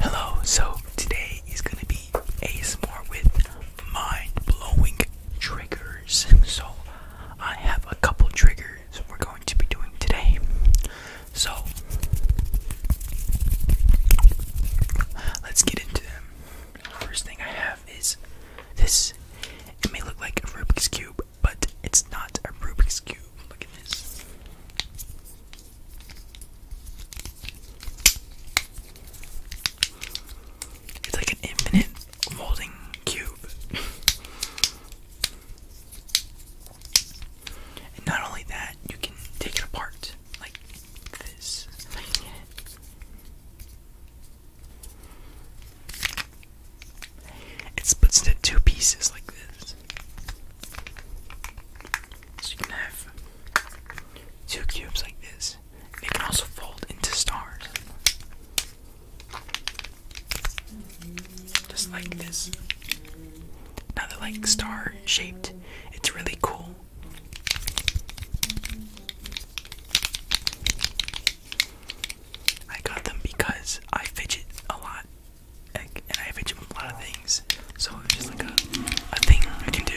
Hello, so today is gonna be a ASMR with mind blowing triggers. So, I have a couple triggers we're going to be doing today. So, let's get into them. First thing I have is this. It may look like a Rubik's Cube, but it's not a Rubik's Cube. Look at this. It's like an infinite molding cube. and not only that, you can take it apart like this. It splits into two pieces like this. So you can have two cubes like this. They can also fold into stars. Just like this. Now they're like star shaped. It's really cool. I got them because I fidget a lot and I have itchy from a lot of things. So it's just like a, a thing I can do.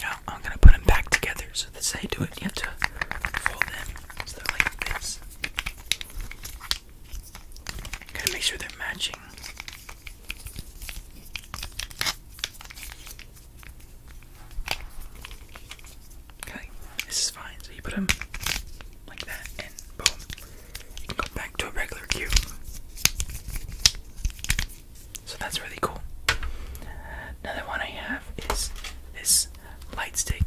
Now I'm gonna put them back together. So that's how do it. You have to fold them so they're like this. Gotta make sure they're matching. Okay, this is fine. So you put them like that, and boom, you go back to a regular cube. So that's really cool. Another one I have is this this light stick.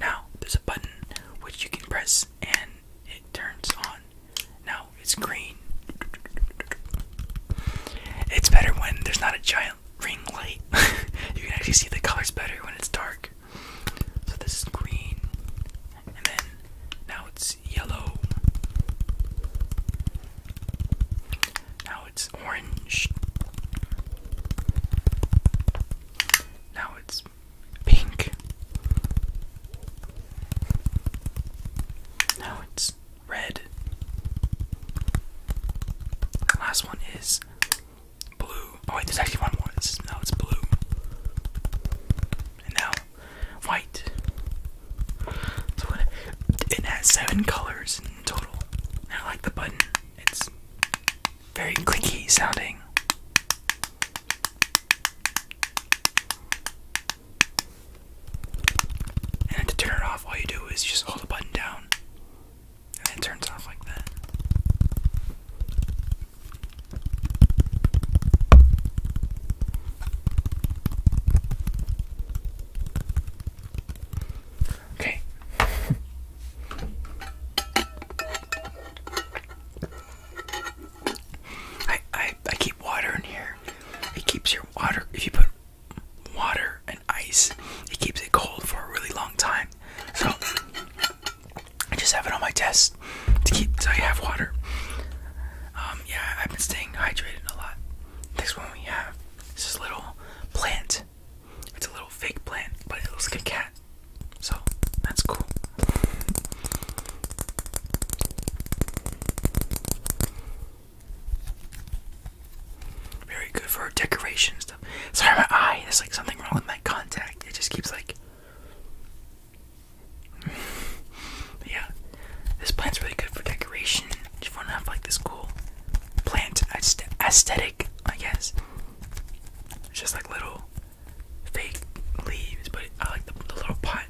Now there's a button which you can press and it turns on. Now it's green. It's better when there's not a giant ring light. you can actually see the colors better when it's dark. So this is green, and then now it's yellow. Now it's orange. Now it's pink. Now it's red. The last one is blue. Oh wait, there's actually one more. This is, no, it's blue. And now white. So it, it has seven colors in total. I like the button. It's very clicky sounding. And to turn it off, all you do is just hold the button down. And it turns off like that. Okay. I, I I keep water in here. It keeps your water if you put water and ice, it keeps it cold for a really long time. So I just have it on my desk to keep so I have water. Um, yeah, I've been staying hydrated a lot. Next one we have is this little plant. It's a little fake plant, but it looks like a cat. So that's cool. Very good for decoration stuff. Sorry, my eye. There's like something wrong with my contact. It just keeps like yeah, this plant's really good for decoration. If you want to have like this cool plant aesthetic, I guess. just like little fake leaves, but I like the, little pot.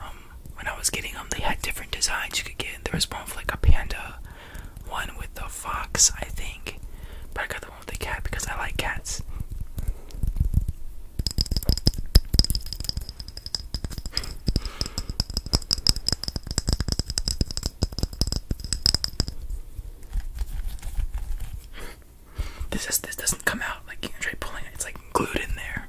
Um, when I was getting them, they had different designs you could get. There was one with like a panda, one with a fox, I think. But I got the the the cat because I like cats. This is this doesn't come out like you try pulling it, it's like glued in there.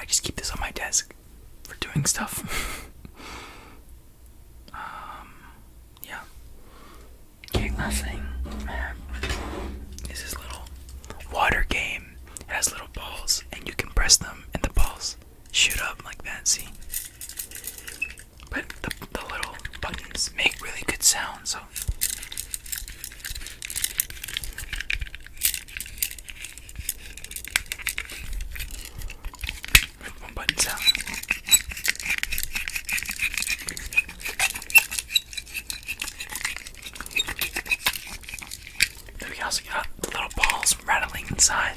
I, just keep this on my desk for doing stuff. um, yeah. Okay, last thing is little water game it has little balls, and you can press them, and the balls shoot up like that. See, but the, little buttons make really good sounds. So. button sound we also got little balls rattling inside.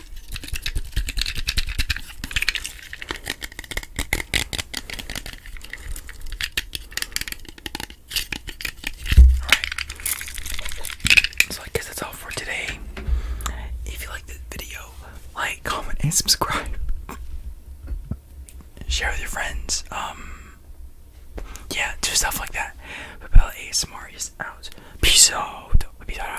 So I guess that's all for today. If you like this video, like, comment, and subscribe. Share with your friends. Um yeah, do stuff like that. Papella ASMR is out. Peace out. Peace out.